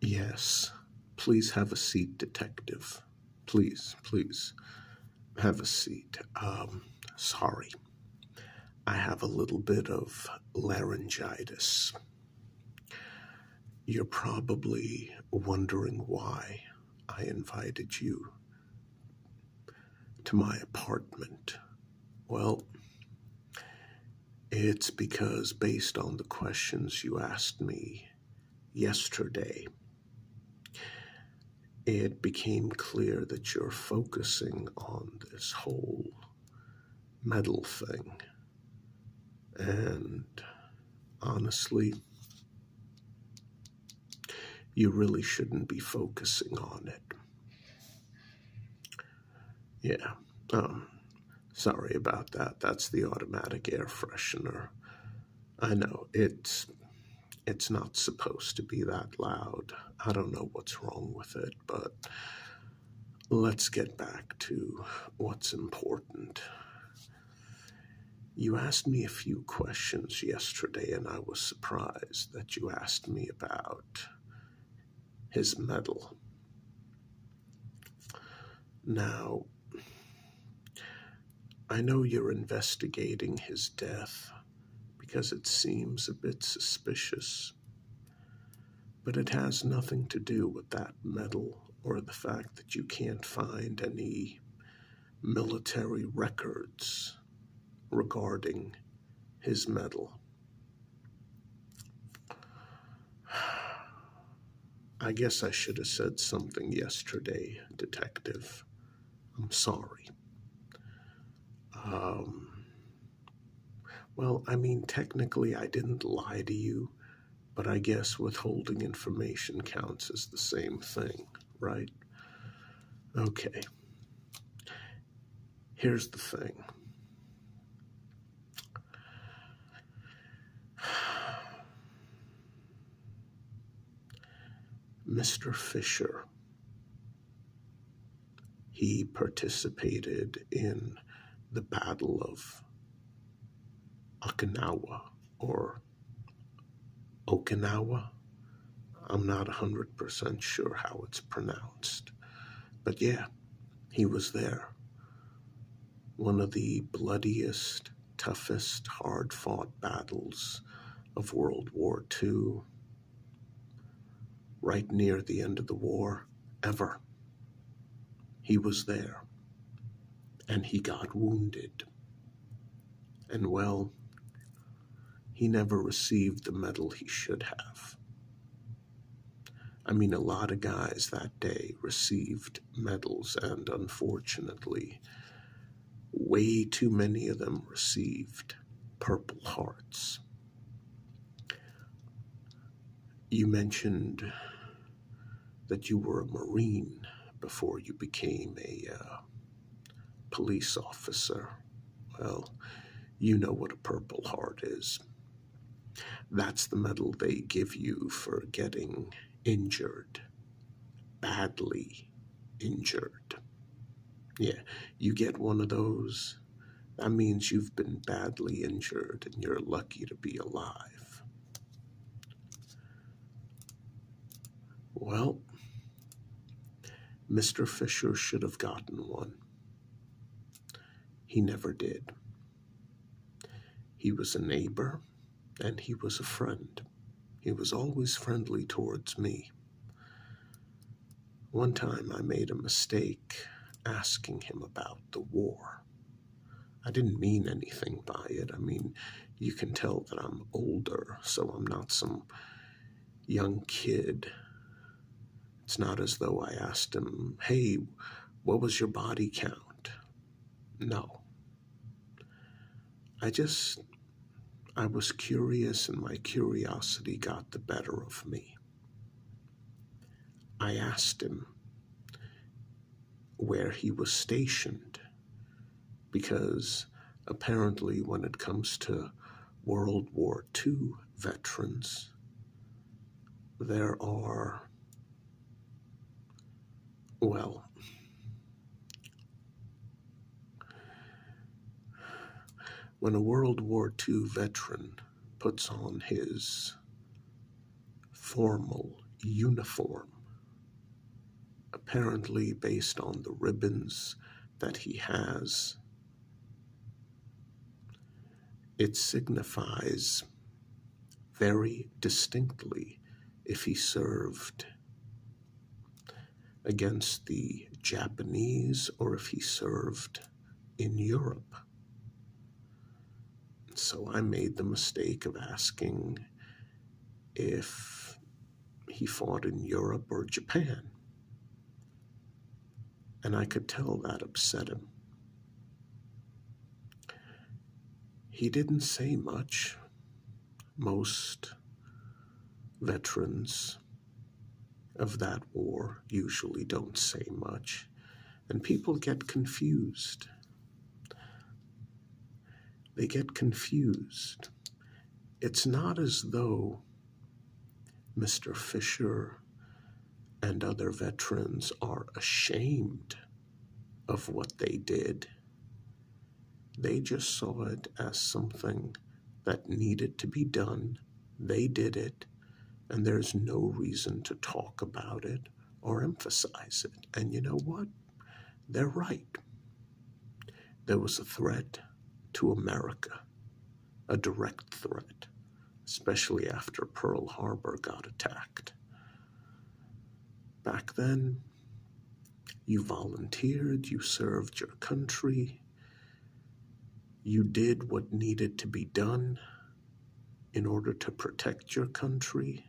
Yes. Please have a seat, detective. Please, please have a seat. Um, sorry. I have a little bit of laryngitis. You're probably wondering why I invited you to my apartment. Well, it's because, based on the questions you asked me yesterday, it became clear that you're focusing on this whole medal thing. And honestly, you really shouldn't be focusing on it. Yeah. Um, sorry about that. That's the automatic air freshener. I know it's it's not supposed to be that loud. I don't know what's wrong with it, but let's get back to what's important. You asked me a few questions yesterday, and I was surprised that you asked me about his medal. Now, I know you're investigating his death because it seems a bit suspicious, but it has nothing to do with that medal or the fact that you can't find any military records regarding his medal. I guess I should have said something yesterday, Detective. I'm sorry. Um, well, I mean, technically, I didn't lie to you, but I guess withholding information counts as the same thing, right? Okay. Here's the thing. Mr. Fisher, he participated in the Battle of Okinawa or Okinawa. I'm not 100% sure how it's pronounced. But yeah, he was there. One of the bloodiest, toughest, hard fought battles of World War II, right near the end of the war, ever. He was there. And he got wounded. And well, he never received the medal he should have. I mean, a lot of guys that day received medals, and unfortunately, way too many of them received Purple Hearts. You mentioned that you were a Marine before you became a uh, police officer. Well, you know what a Purple Heart is. That's the medal they give you for getting injured, badly injured. Yeah, you get one of those, that means you've been badly injured and you're lucky to be alive. Well, Mr. Fisher should have gotten one. He never did. He was a neighbor and he was a friend. He was always friendly towards me. One time I made a mistake asking him about the war. I didn't mean anything by it. I mean, you can tell that I'm older, so I'm not some young kid it's not as though I asked him, hey, what was your body count? No. I just, I was curious and my curiosity got the better of me. I asked him where he was stationed because apparently when it comes to World War II, veterans. There are, well, when a World War II veteran puts on his formal uniform, apparently based on the ribbons that he has it signifies very distinctly if he served against the Japanese or if he served in Europe. So I made the mistake of asking if he fought in Europe or Japan. And I could tell that upset him. He didn't say much. Most veterans of that war usually don't say much, and people get confused. They get confused it's not as though Mr. Fisher and other veterans are ashamed of what they did. They just saw it as something that needed to be done. They did it, and there's no reason to talk about it or emphasize it. And you know what? They're right. There was a threat to America, a direct threat, especially after Pearl Harbor got attacked. Back then, you volunteered, you served your country, you did what needed to be done in order to protect your country,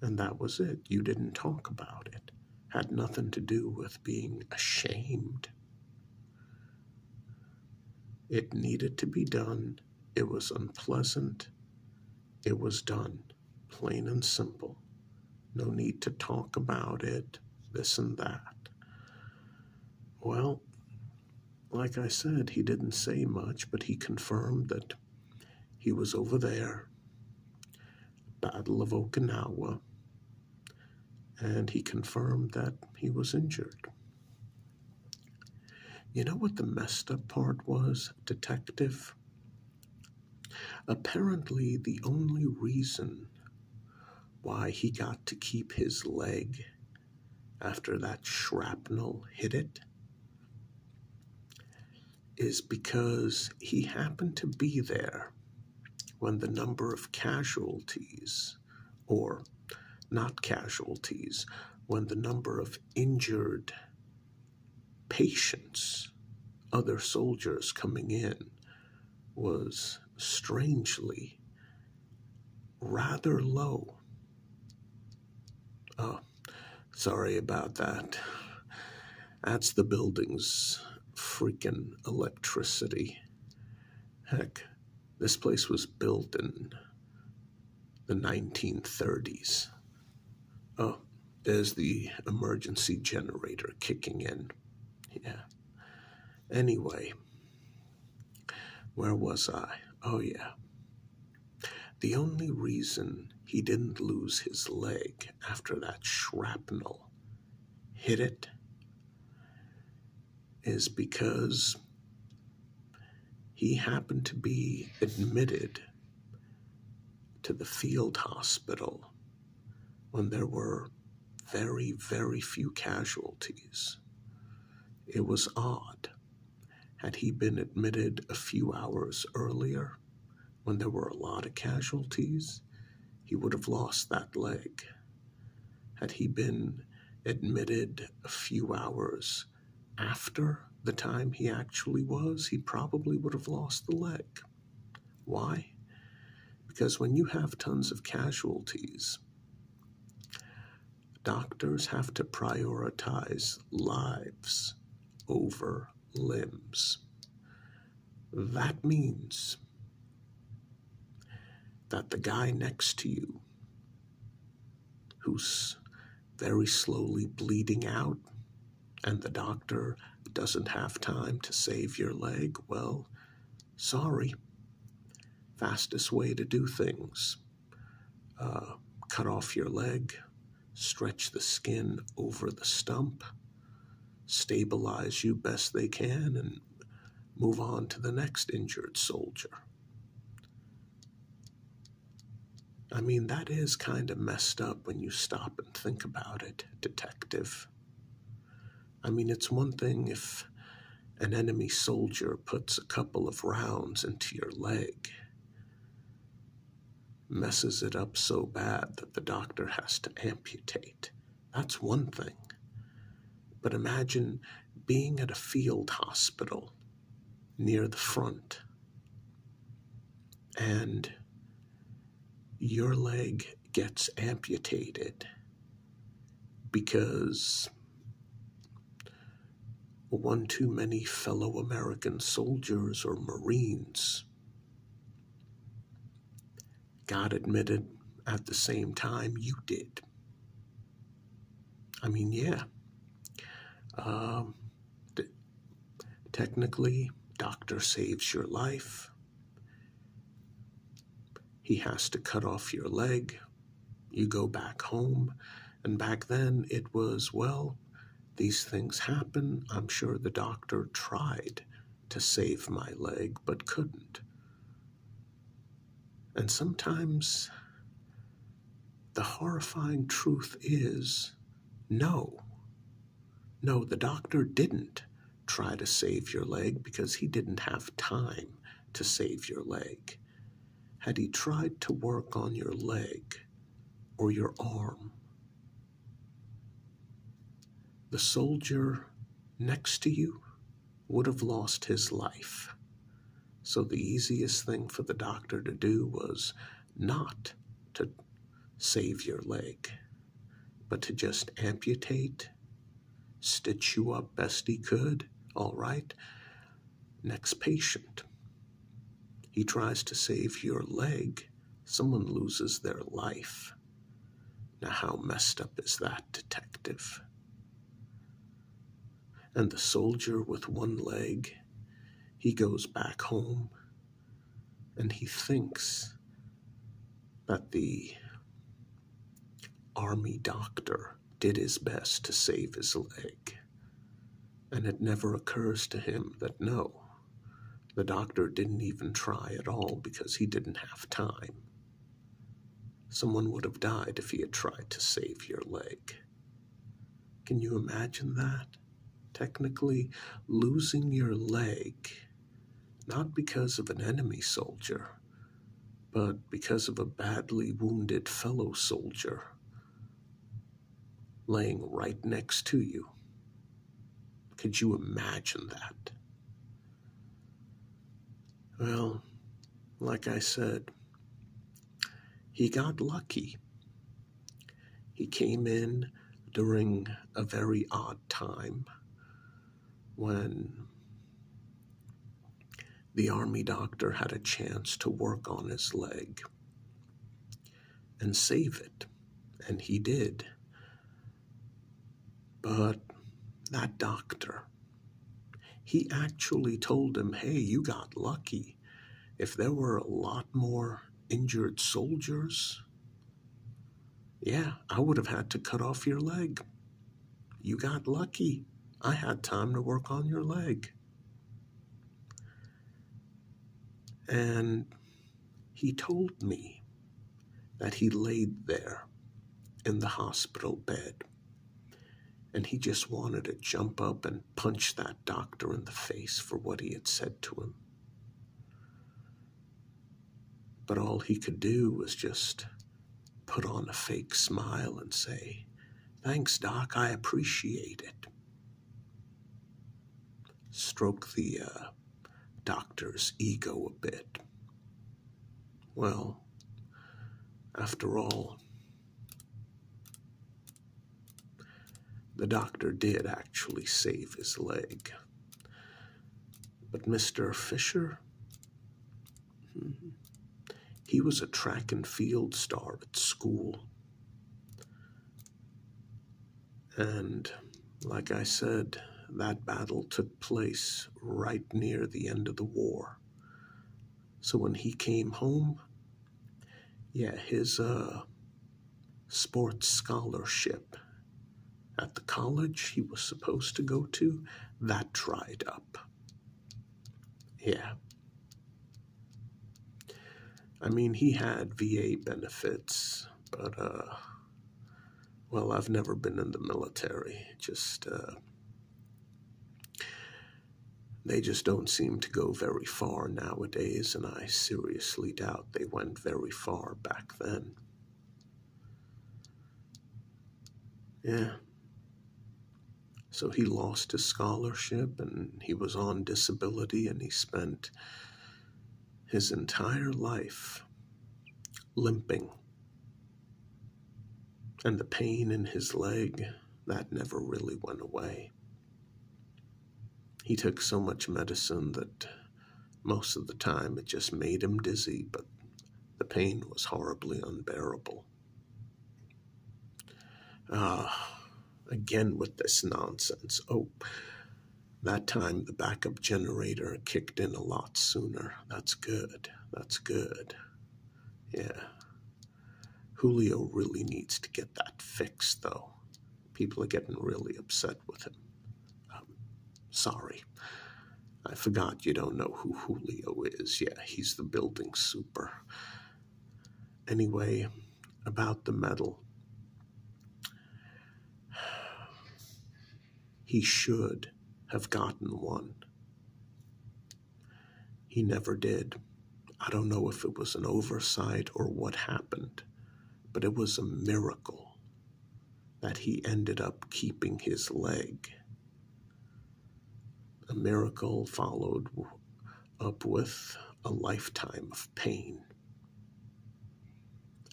and that was it. You didn't talk about it had nothing to do with being ashamed. It needed to be done. It was unpleasant. It was done, plain and simple. No need to talk about it, this and that. Well, like I said, he didn't say much, but he confirmed that he was over there, Battle of Okinawa, and he confirmed that he was injured. You know what the messed up part was, detective? Apparently, the only reason why he got to keep his leg after that shrapnel hit it is because he happened to be there when the number of casualties or not casualties, when the number of injured patients, other soldiers coming in, was strangely rather low. Oh, sorry about that. That's the building's freaking electricity. Heck, this place was built in the 1930s. Oh, there's the emergency generator kicking in. Yeah. Anyway, where was I? Oh, yeah. The only reason he didn't lose his leg after that shrapnel hit it is because he happened to be admitted to the field hospital when there were very, very few casualties. It was odd. Had he been admitted a few hours earlier, when there were a lot of casualties, he would have lost that leg. Had he been admitted a few hours after the time he actually was, he probably would have lost the leg. Why? Because when you have tons of casualties, doctors have to prioritize lives over limbs. That means that the guy next to you, who's very slowly bleeding out, and the doctor doesn't have time to save your leg, well, sorry. Fastest way to do things uh, cut off your leg, stretch the skin over the stump, stabilize you best they can, and move on to the next injured soldier. I mean, that is kind of messed up when you stop and think about it, detective. I mean, it's one thing if an enemy soldier puts a couple of rounds into your leg messes it up so bad that the doctor has to amputate. That's one thing. But imagine being at a field hospital near the front and your leg gets amputated because one too many fellow American soldiers or Marines God admitted at the same time you did. I mean, yeah. Um, technically, doctor saves your life. He has to cut off your leg. You go back home. And back then, it was, well, these things happen. I'm sure the doctor tried to save my leg but couldn't. And sometimes the horrifying truth is no. No, the doctor didn't try to save your leg because he didn't have time to save your leg. Had he tried to work on your leg or your arm the soldier next to you would have lost his life. So the easiest thing for the doctor to do was not to save your leg, but to just amputate, stitch you up best he could. All right. Next patient. He tries to save your leg, someone loses their life. Now, how messed up is that, detective? And the soldier with one leg, he goes back home and he thinks that the army doctor did his best to save his leg. And it never occurs to him that no, the doctor didn't even try at all because he didn't have time. Someone would have died if he had tried to save your leg. Can you imagine that? Technically, losing your leg, not because of an enemy soldier, but because of a badly wounded fellow soldier laying right next to you. Could you imagine that? Well, like I said, he got lucky. He came in during a very odd time when the army doctor had a chance to work on his leg and save it. And he did. But that doctor, he actually told him, hey, you got lucky. If there were a lot more injured soldiers, yeah, I would have had to cut off your leg. You got lucky. I had time to work on your leg. And he told me that he laid there in the hospital bed and he just wanted to jump up and punch that doctor in the face for what he had said to him. But all he could do was just put on a fake smile and say, Thanks, Doc, I appreciate it stroke the uh, doctor's ego a bit. Well, after all, the doctor did actually save his leg. But Mr. Fisher, hmm, he was a track and field star at school. And like I said, that battle took place right near the end of the war. So when he came home, yeah, his uh, sports scholarship at the college he was supposed to go to, that dried up. Yeah. I mean, he had VA benefits, but, uh, well, I've never been in the military. Just, uh, they just don't seem to go very far nowadays, and I seriously doubt they went very far back then. Yeah. So he lost his scholarship and he was on disability, and he spent his entire life limping. And the pain in his leg, that never really went away. He took so much medicine that most of the time it just made him dizzy, but the pain was horribly unbearable. Ah, again with this nonsense. Oh, that time the backup generator kicked in a lot sooner. That's good. That's good. Yeah. Julio really needs to get that fixed, though. People are getting really upset with him. Um, sorry. I forgot you don't know who Julio is. Yeah, he's the building super. Anyway, about the medal. He should have gotten one. He never did. I don't know if it was an oversight or what happened, but it was a miracle that he ended up keeping his leg a miracle followed up with a lifetime of pain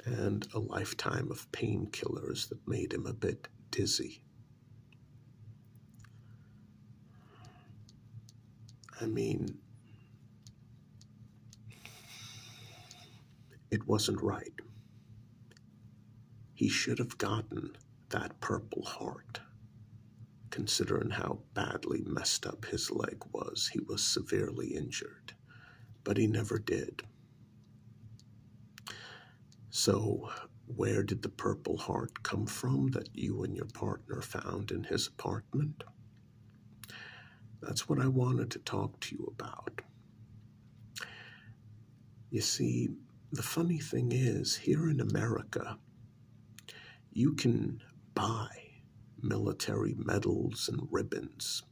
and a lifetime of painkillers that made him a bit dizzy. I mean, it wasn't right. He should have gotten that Purple Heart. Considering how badly messed up his leg was, he was severely injured, but he never did. So, where did the Purple Heart come from that you and your partner found in his apartment? That's what I wanted to talk to you about. You see, the funny thing is, here in America, you can buy military medals and ribbons.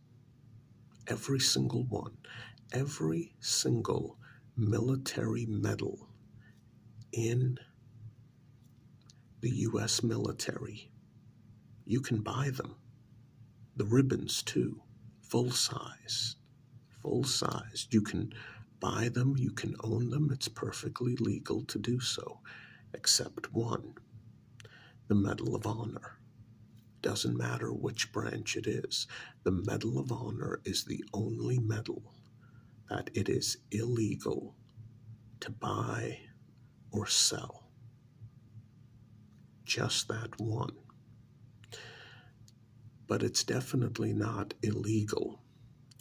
Every single one. Every single military medal in the U.S. military. You can buy them. The ribbons, too, full size. Full sized. You can buy them, you can own them, it's perfectly legal to do so, except one the Medal of Honor. Doesn't matter which branch it is, the Medal of Honor is the only medal that it is illegal to buy or sell. Just that one but it's definitely not illegal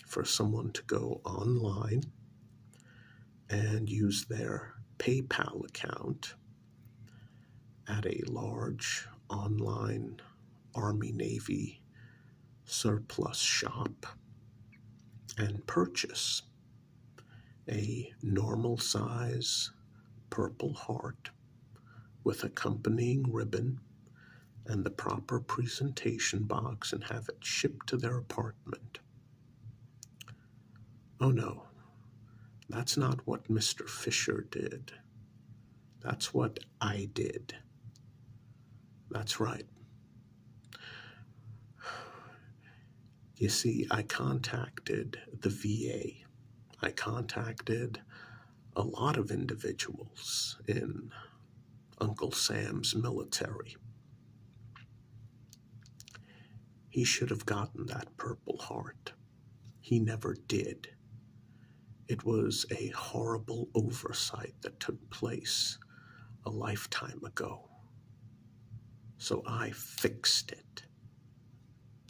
for someone to go online and use their PayPal account at a large online Army Navy surplus shop and purchase a normal size purple heart with accompanying ribbon and the proper presentation box and have it shipped to their apartment. Oh no, that's not what Mr. Fisher did. That's what I did. That's right. You see, I contacted the VA. I contacted a lot of individuals in Uncle Sam's military. He should have gotten that Purple Heart. He never did. It was a horrible oversight that took place a lifetime ago. So I fixed it.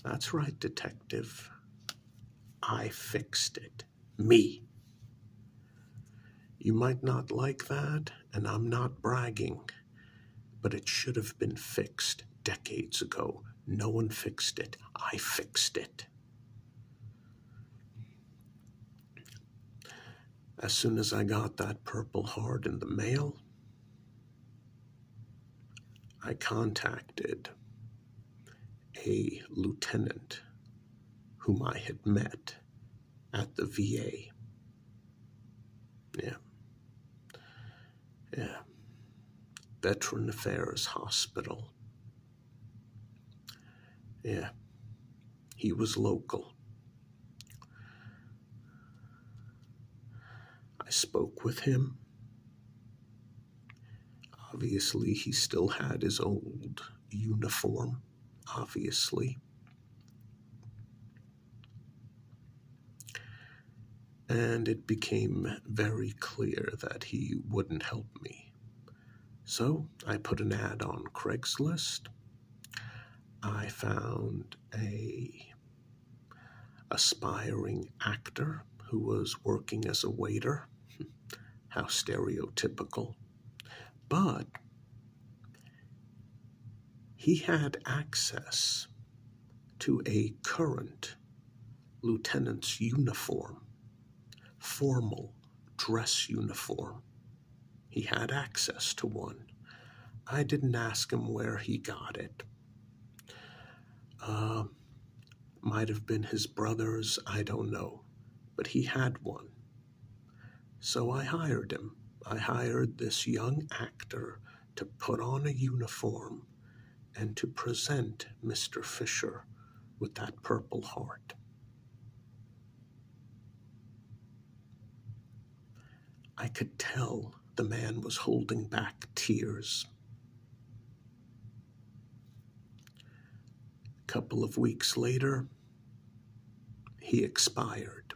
That's right, detective. I fixed it me. You might not like that, and I'm not bragging, but it should have been fixed decades ago. No one fixed it. I fixed it. As soon as I got that purple heart in the mail, I contacted a lieutenant whom I had met at the VA. Yeah. Yeah. Veteran Affairs Hospital. Yeah. He was local. I spoke with him Obviously, he still had his old uniform, obviously. And it became very clear that he wouldn't help me. So I put an ad on Craigslist. I found a aspiring actor who was working as a waiter. How stereotypical. But he had access to a current lieutenant's uniform, formal dress uniform. He had access to one. I didn't ask him where he got it. Uh, might have been his brother's, I don't know, but he had one. So I hired him. I hired this young actor to put on a uniform and to present Mr. Fisher with that Purple Heart. I could tell the man was holding back tears. A couple of weeks later, he expired.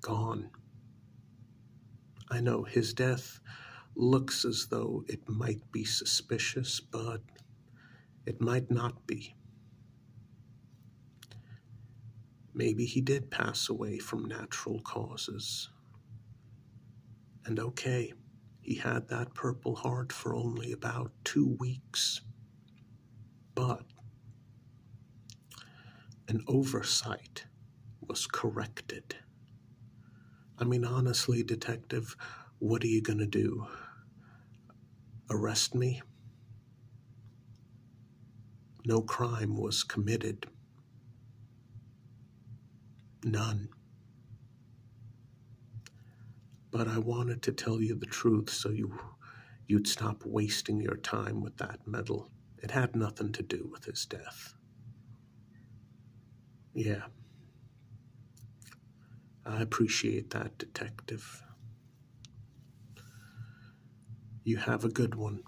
Gone. I know his death looks as though it might be suspicious, but it might not be. Maybe he did pass away from natural causes. And okay, he had that Purple Heart for only about two weeks. But an oversight was corrected. I mean, honestly, Detective, what are you going to do? Arrest me? No crime was committed. None. But I wanted to tell you the truth so you, would stop wasting your time with that medal. It had nothing to do with his death. Yeah. I appreciate that, Detective. You have a good one.